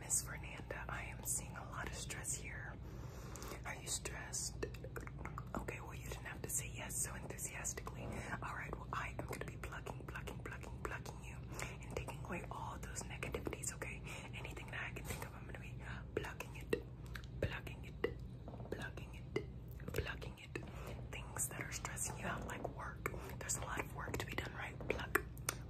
Miss Fernanda, I am seeing a lot of stress here. Are you stressed? Okay, well, you didn't have to say yes so enthusiastically. All right, well, I am going to be plucking, plucking, plucking, plucking you and taking away all those negativities, okay? Anything that I can think of, I'm going to be plucking it, plucking it, plucking it, plucking it. Things that are stressing you out, like work. There's a lot of work to be done, right? Pluck,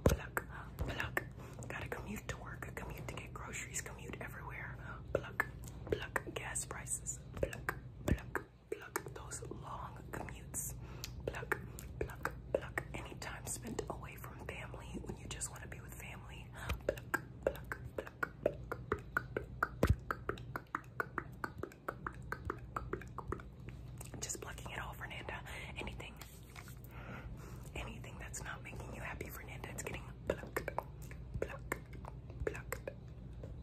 Pluck, pluck. Gotta commute to work, commute to get groceries, commute everywhere. Pluck, pluck. Gas prices. Pluck, pluck, pluck. Those long commutes. Pluck, pluck, pluck. Any time spent away from family when you just want to be with family. pluck, pluck, pluck just blocking it all, Fernanda. Anything, anything that's not making you happy, Fernanda, it's getting Blocked. plucked, plucked, plucked,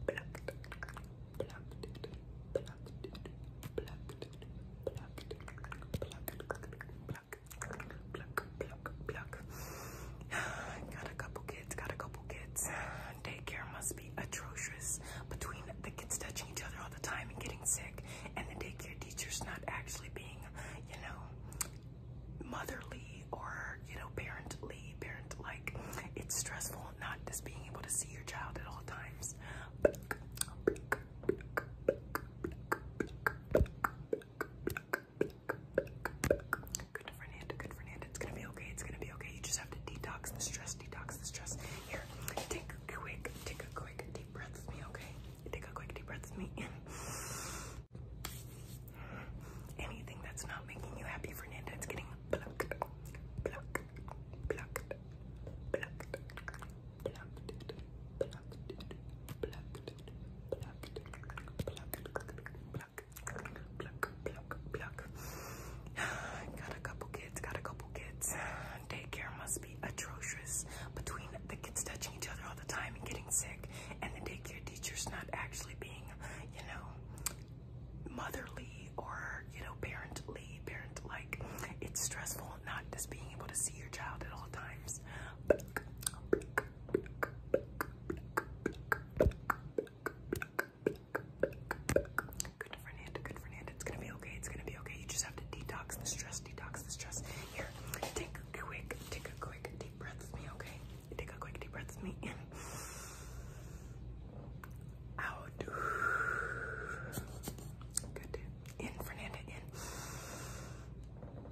plucked, plucked, plucked, plucked, plucked, pluck, pluck, pluck. Got a couple kids, got a couple kids. Daycare must atrocious between the kids touching each other all the time and getting sick and the daycare teachers not actually being, you know, motherly or, you know, parently, parent like. It's stressful not just being able to see your child at all times. Good Good Fernanda, It's gonna be okay, it's gonna be okay. You just have to detox the stress, detox the stress. Here, take a quick, take a quick deep breath with me, okay? Take a quick deep breath with me. Anything that's not making you happy, Fernanda, it's getting plucked, plucked, plucked, plucked, plucked, plucked, plucked, plucked, plucked, plucked, plucked, plucked, plucked, plucked, pluck, Got a couple kids, got a couple kids. Daycare must be atrocious between the kids touching each other all the time and getting sick, and the daycare teachers not actually being, you know, motherly or, you know, parently, parent like. It's stressful not just being able to see your child at all times. Good for good for It's gonna be okay, it's gonna be okay. You just have to detox the stress, detox the stress. Here, take a quick, take a quick deep breaths. me, okay? Take a quick deep breaths. me in. Out. Good. In, Fernanda, in.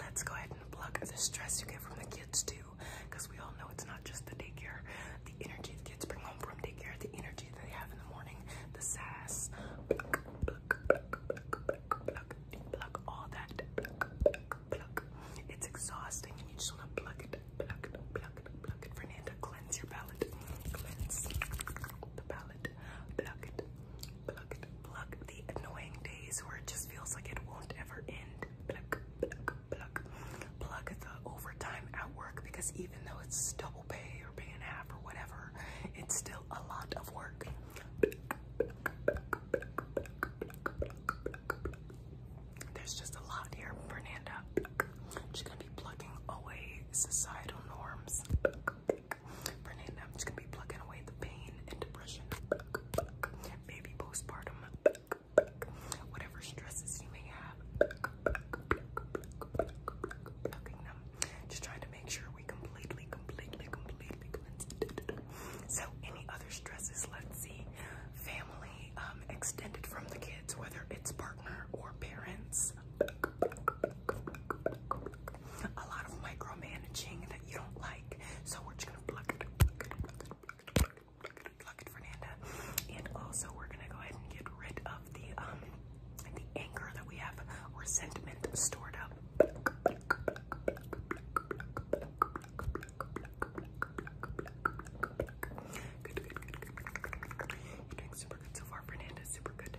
let's go ahead and block the stress you get from the kids too, because we all know it's not just the daycare, the energy the kids bring home from daycare, the energy that they have in the morning, the sass, pluck, pluck, pluck, pluck, pluck, pluck, all that, pluck, pluck, pluck. It's exhausting, and you just want to pluck it, pluck it, pluck it, pluck it. Fernanda, cleanse your palate, cleanse the palate, pluck it. Pluck, pluck the annoying days where it just feels like it won't ever end. Pluck, pluck, pluck. the overtime at because even though it's double pay or pay and half or whatever, it's still a lot of work. There's just a lot here, Fernanda. She's gonna be plucking away societal norms thick. I'm just gonna be plucking away the pain and depression. Back, postpartum. Whatever stresses you may have. Just trying to make sure we completely, completely, completely cleanse it. So any other stresses, let's see. Family, um, extended from the kids, whether it's partner or parents a lot of micromanaging that you don't like. So we're gonna pluck it, pluck it, Fernanda. And also we're gonna go ahead and get rid of the um the anger that we have or sentiment stored up. doing super good so far, Fernanda. Super good.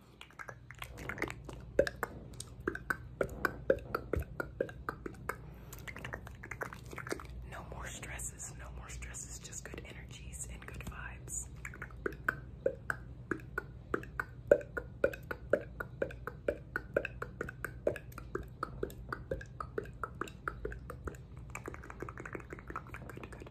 No more stresses, no more stresses, just good energies and good vibes. Good, good,